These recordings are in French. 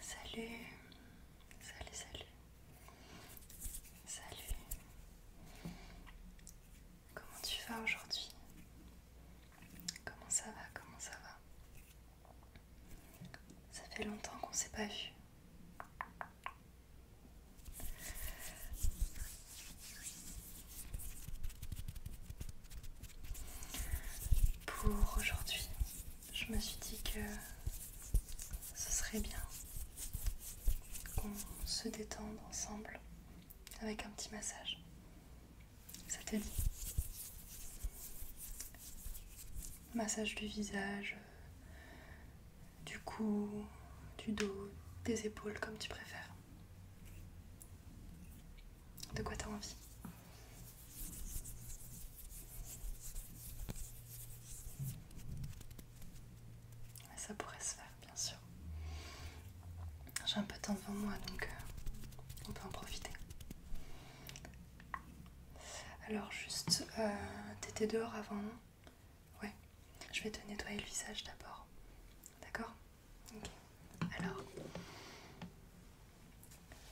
Salut, salut, salut, salut. Comment tu vas aujourd'hui Comment ça va Comment ça va Ça fait longtemps qu'on s'est pas vu. Pour aujourd'hui, je me suis dit que ce serait bien qu'on se détende ensemble avec un petit massage. Ça te dit Massage du visage, du cou, du dos, des épaules comme tu préfères. De quoi t'as envie ça pourrait se faire, bien sûr. J'ai un peu de temps devant moi, donc euh, on peut en profiter. Alors juste, euh, t'étais dehors avant, Ouais. Je vais te nettoyer le visage d'abord. D'accord Ok. Alors,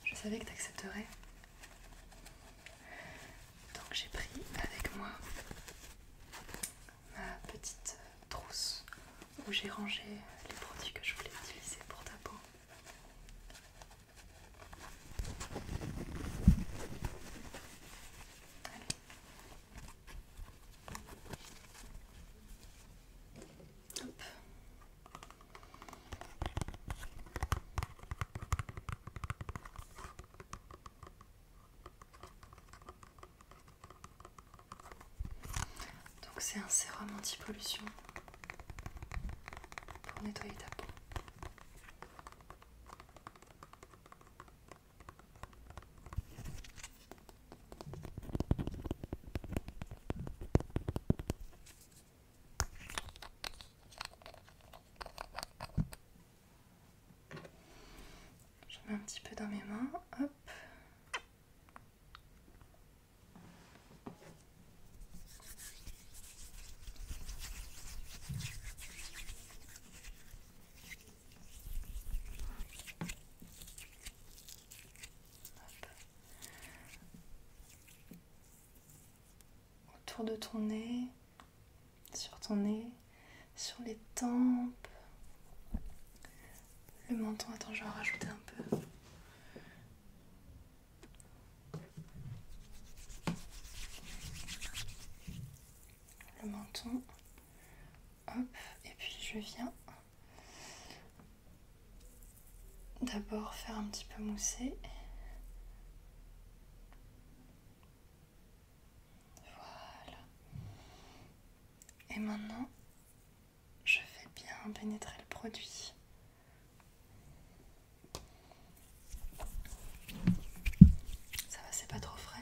je savais que tu accepterais. Donc j'ai pris avec moi ma petite trousse où j'ai rangé les produits que je voulais utiliser pour ta peau. Donc c'est un sérum anti-pollution pour nettoyer ta peau. Je mets un petit peu dans mes mains, hop. Autour de ton nez, sur ton nez, sur les tempes, le menton. Attends, je vais en rajouter un peu. Le menton. Hop, et puis je viens d'abord faire un petit peu mousser. Voilà. Et maintenant, je vais bien pénétrer le produit. Ça va, c'est pas trop frais.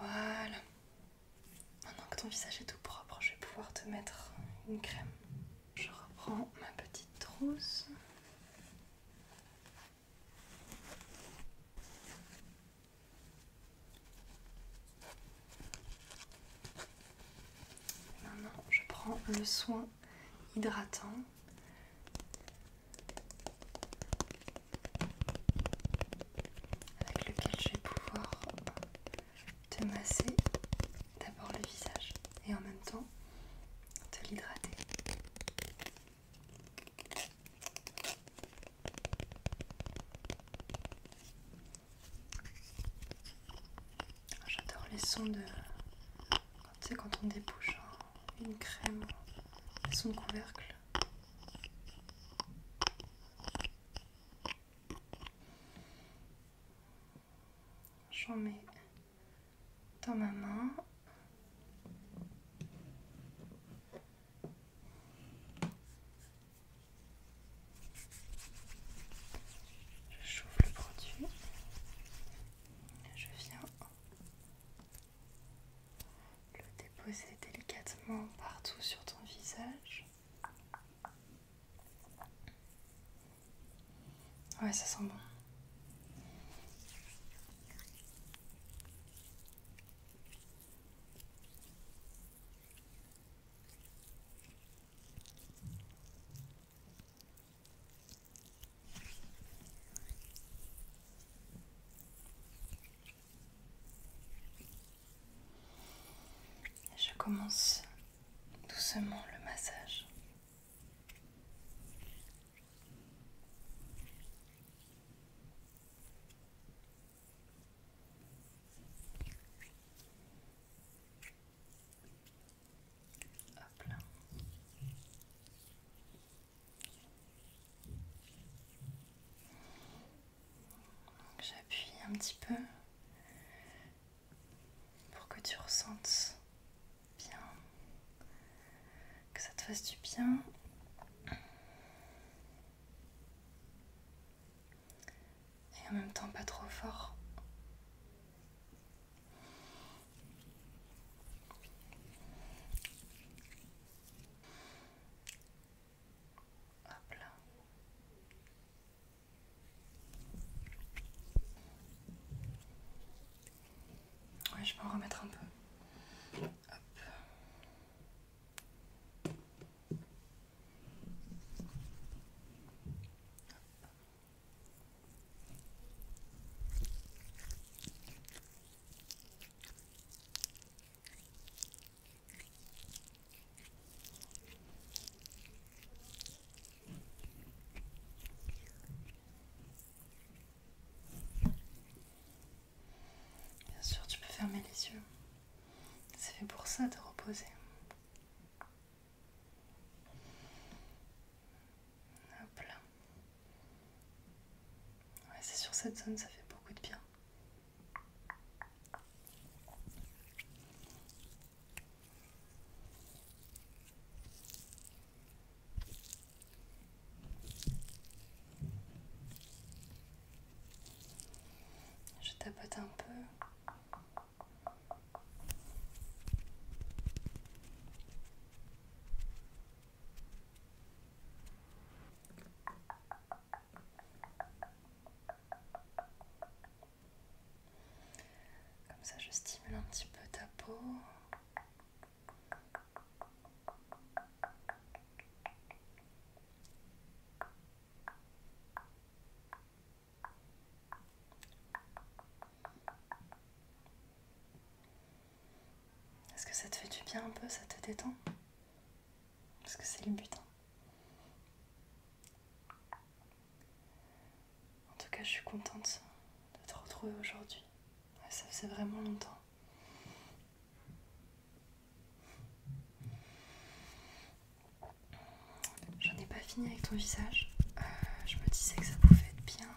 Voilà. Maintenant que ton visage est tout propre, je vais pouvoir te mettre une crème. Je reprends ma petite trousse. Maintenant, je prends le soin hydratant avec lequel je vais pouvoir te masser d'abord le visage et en même temps te l'hydrater. J'adore les sons de, c'est quand on débouche une crème son couvercle. J'en mets dans ma main. Je chauffe le produit. Je viens le déposer délicatement partout sur ton visage. Ouais, ça sent bon. Je commence doucement le massage. J'appuie un petit peu pour que tu ressentes bien, que ça te fasse du bien. Et en même temps pas trop fort. Hop là. Ouais, je vais en remettre un peu. Hop. Bien sûr, tu peux fermer les yeux. C'est fait pour ça de reposer c'est sur cette zone, ça fait beaucoup de bien. Je tapote un peu. Comme ça, je stimule un petit peu ta peau. Est-ce que ça te fait du bien un peu, ça te détend Parce que c'est le but. Hein. En tout cas, je suis contente de te retrouver aujourd'hui. Ça faisait vraiment longtemps. J'en ai pas fini avec ton visage. Euh, je me disais que ça pouvait être bien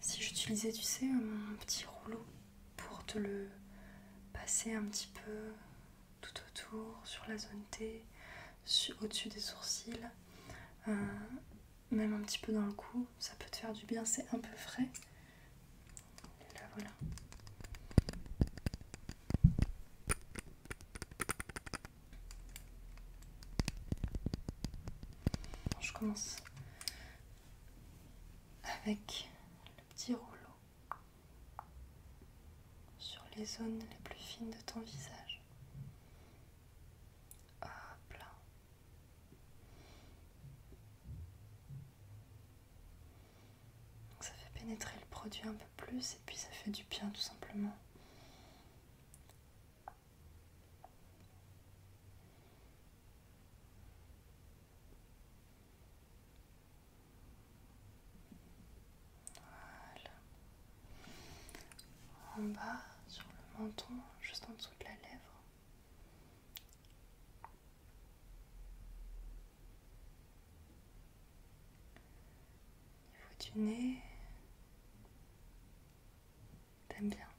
si j'utilisais, tu sais, mon petit rouleau pour te le passer un petit peu tout autour, sur la zone T, au-dessus des sourcils, euh, même un petit peu dans le cou, ça peut te faire du bien, c'est un peu frais. Et là voilà je commence avec le petit rouleau sur les zones les plus fines de ton visage. Hop là. ça fait pénétrer le produit un peu plus et puis ça fait du bien tout simplement. Voilà. En bas, sur le menton, juste en dessous de la lèvre. Il niveau du nez. T'aimes bien.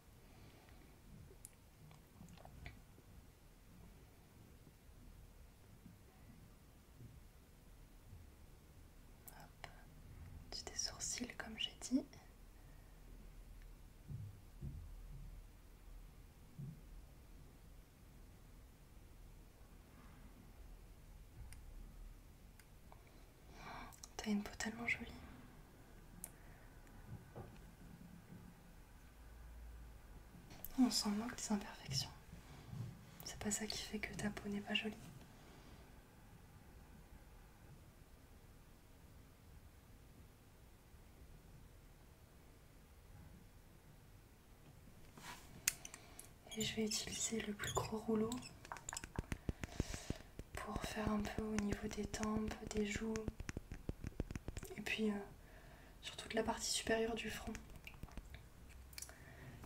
Hop. Tu tes sourcils comme j'ai dit. T'as une peau tellement jolie. On s'en moque des imperfections. C'est pas ça qui fait que ta peau n'est pas jolie. Et je vais utiliser le plus gros rouleau pour faire un peu au niveau des tempes, des joues, et puis euh, sur toute la partie supérieure du front.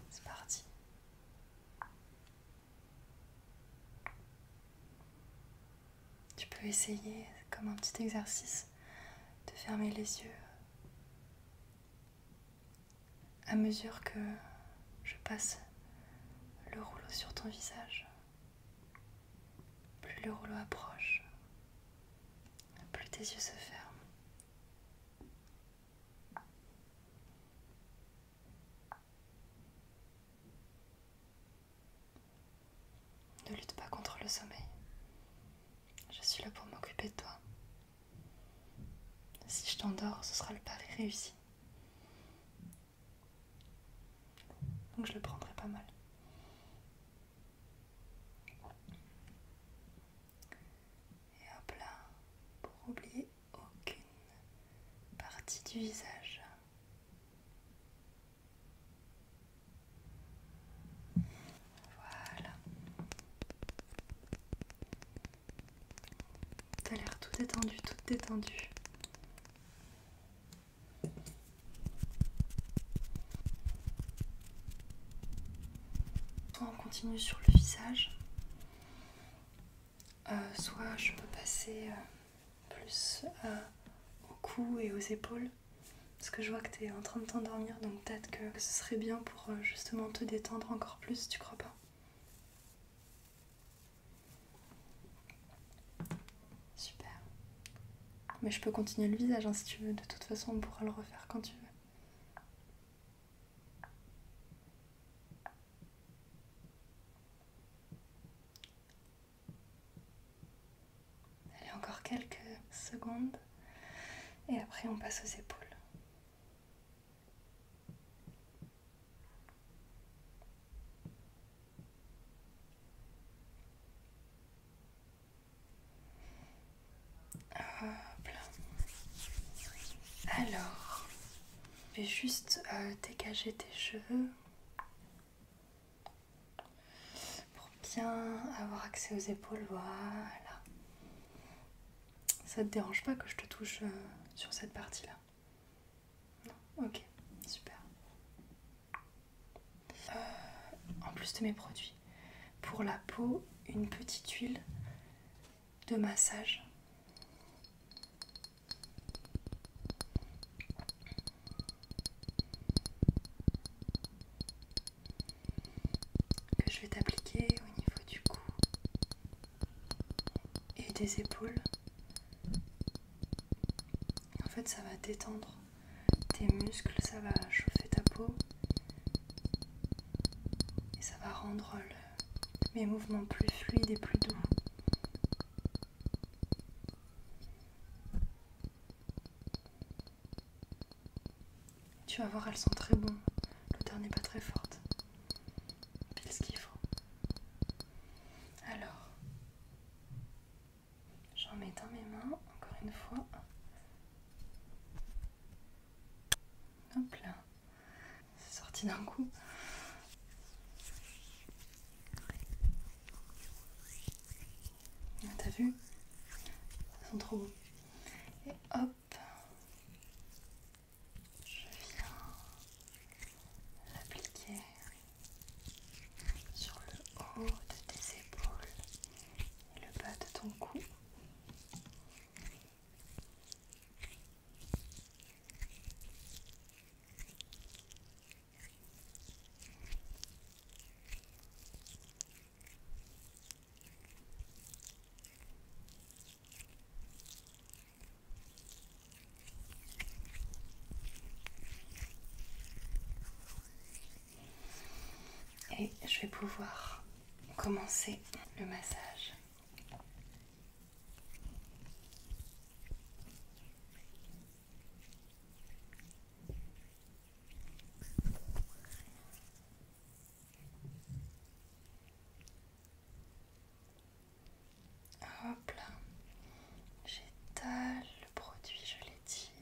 C'est parti. Tu peux essayer, comme un petit exercice, de fermer les yeux à mesure que je passe le rouleau sur ton visage. Plus le rouleau approche, plus tes yeux se ferment. Ne lutte pas contre le sommeil. Je suis là pour m'occuper de toi. Si je t'endors, ce sera le pari réussi. Donc je le prendrai pas mal. Et hop là, pour oublier aucune partie du visage. Voilà. as l'air tout détendu, tout détendu. Soit on continue sur le visage, euh, soit je peux passer euh, plus au cou et aux épaules. Parce que je vois que tu es en train de t'endormir, donc peut-être que ce serait bien pour euh, justement te détendre encore plus, tu crois pas Super. Mais je peux continuer le visage hein, si tu veux. De toute façon, on pourra le refaire quand tu veux. Allez, encore quelques secondes. Et après, on passe aux épaules. Ah, Alors, je vais juste euh, dégager tes cheveux pour bien avoir accès aux épaules. Voilà. Ça te dérange pas que je te touche euh, sur cette partie-là Ok, super. Euh, en plus de mes produits, pour la peau, une petite huile de massage. que je vais t'appliquer au niveau du cou et des épaules. En fait, ça va détendre tes muscles, ça va chauffer ta peau et ça va rendre mes mouvements plus fluides et plus doux. Tu vas voir, elles sont très bonnes. L'odeur n'est pas très forte quest ce qu'il faut. Alors, j'en mets dans mes mains, encore une fois. Hop là, c'est sorti d'un coup. Ah, t'as vu Ils sont trop beaux. Et hop, je viens l'appliquer sur le haut de tes épaules et le bas de ton cou. Et je vais pouvoir commencer le massage. Hop là, j'étale le produit, je l'étire.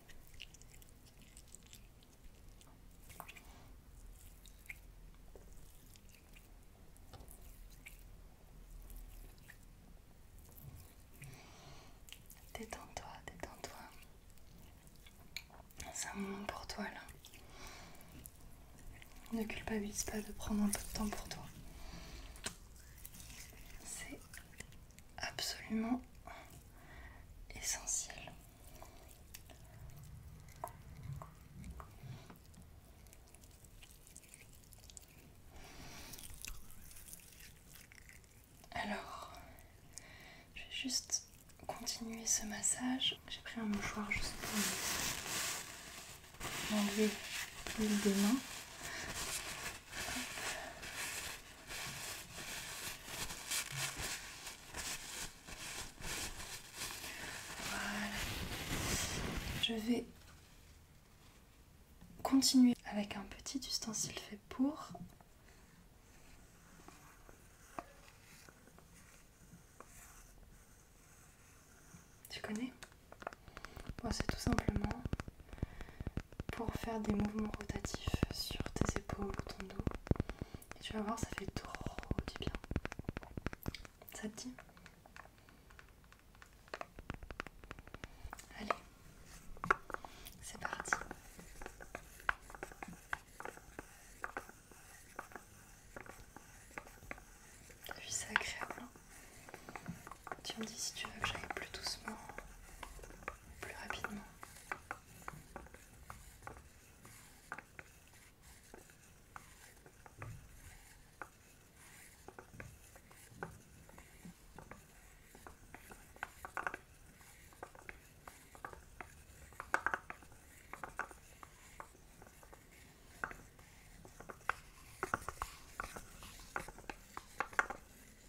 Détends-toi, détends-toi. C'est un moment pour toi là. Ne culpabilise pas de prendre un peu de temps pour toi. C'est absolument essentiel. Alors, je vais juste continuer ce massage. J'ai pris un mouchoir juste pour enlever l'huile des mains. Voilà. Je vais continuer avec un petit ustensile fait pour. Tu connais C'est tout simplement pour faire des mouvements rotatifs sur tes épaules ou ton dos. Et tu vas voir, ça fait trop du bien. Ça te dit Allez, c'est parti. T'as vu, c'est agréable. Hein tu me dis si tu veux que j'aille plus doucement, plus rapidement.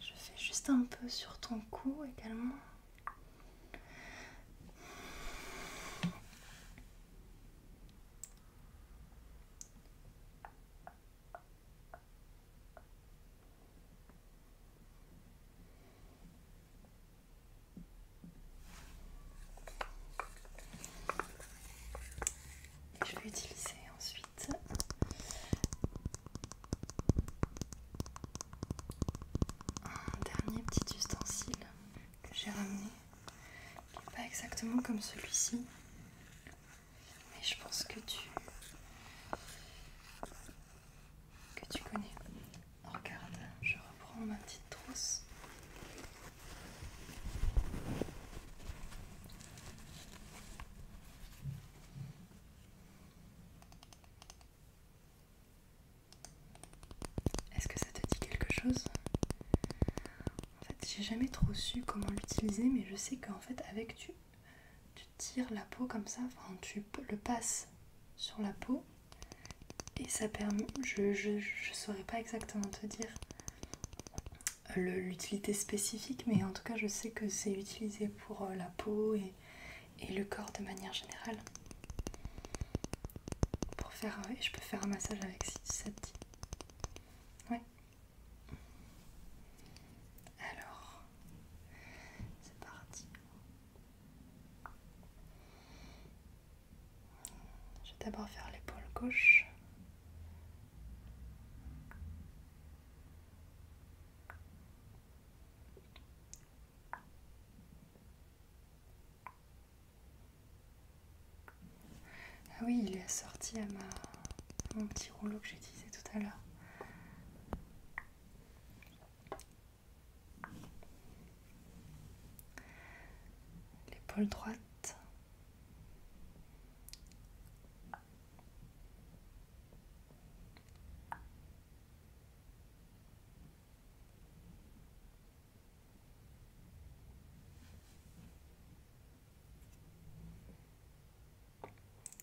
Je fais juste un peu sur ton cou également. Je vais utiliser ensuite un dernier petit ustensile que j'ai ramené, qui n'est pas exactement comme celui-ci, mais je pense que tu que tu connais. Oh, regarde, je reprends ma petite trousse. Est-ce que ça te dit quelque chose j'ai jamais trop su comment l'utiliser, mais je sais qu'en fait, avec tu, tu tires la peau comme ça, enfin, tu le passes sur la peau et ça permet. Je, je, saurais pas exactement te dire euh, l'utilité spécifique, mais en tout cas, je sais que c'est utilisé pour euh, la peau et, le corps de manière générale. Pour faire, euh, je peux faire un massage avec si ça Ouais, alors, c'est parti. Je vais d'abord faire l'épaule gauche. Ah oui, il est assorti à, ma... mon petit rouleau que j'utilisais tout à l'heure. L'épaule droite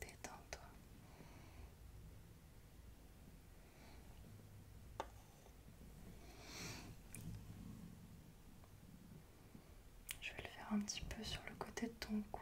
détends Je vais le faire un petit peu sur le côté de ton cou.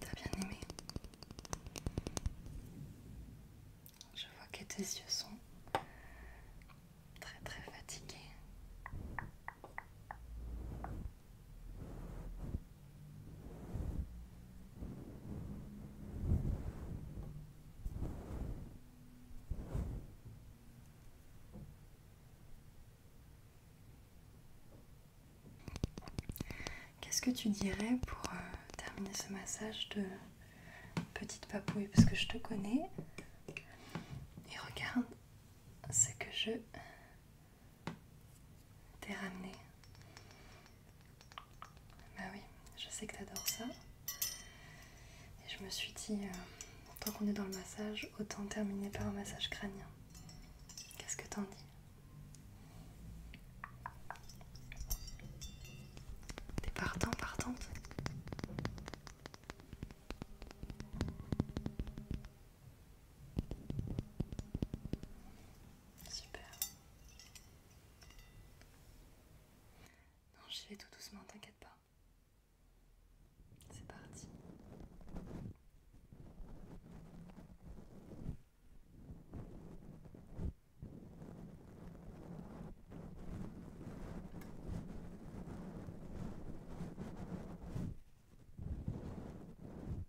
T'as bien aimé Je vois que tes yeux sont très très fatigués. Qu'est-ce que tu dirais pour euh, terminer ce massage de petite papouille Parce que je te connais. Et regarde ce que je T'es ramené. Bah oui, je sais que t'adores ça. Et je me suis dit, euh, tant qu'on est dans le massage, autant terminer par un massage crânien. Qu'est-ce que t'en dis T'es partant, partante Super. Non, j'y vais tout doucement, t'inquiète pas. C'est parti. Ah,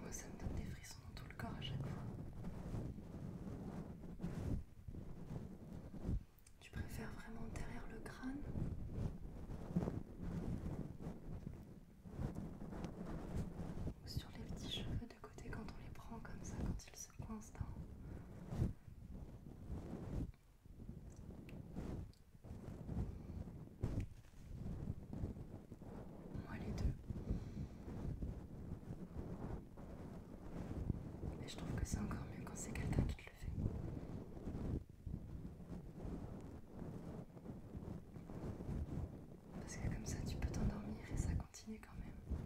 moi ça me donne des frissons dans tout le corps à chaque fois. Tu préfères vraiment derrière le crâne ou sur les petits cheveux de côté quand on les prend comme ça, quand ils se coincent Moi les deux. Mais je trouve que c'est encore mieux quand c'est quelqu'un qui te le fait. Parce que comme ça tu peux t'endormir et ça continue quand même.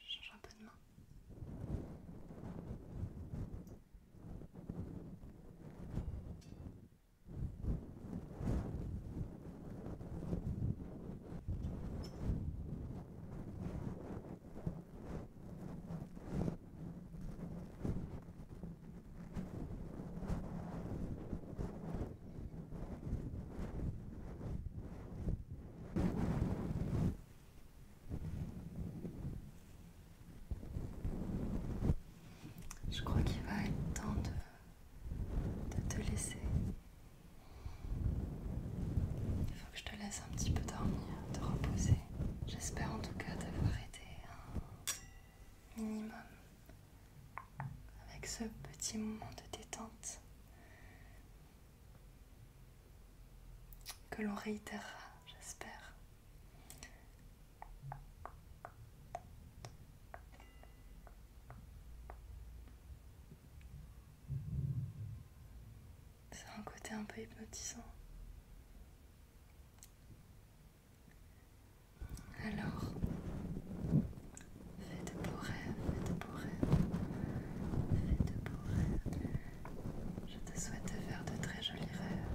Je change un peu de main. Je crois qu'il va être temps de de te laisser. Il faut que je te laisse un petit peu dormir, te reposer. J'espère en tout cas d'avoir aidé un minimum avec ce petit moment de détente que l'on réitérera, j'espère, c'est un côté un peu hypnotisant. Alors, fais de beaux rêves, fais de beaux rêves, fais de beaux rêves. Je te souhaite de faire de très jolis rêves.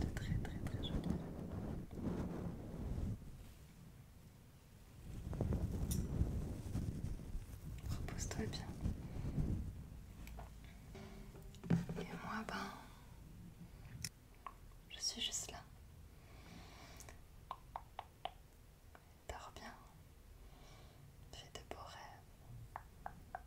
De très très très jolis rêves. Repose-toi bien. Et moi, ben, je suis juste là. Dors bien. Fais de beaux rêves.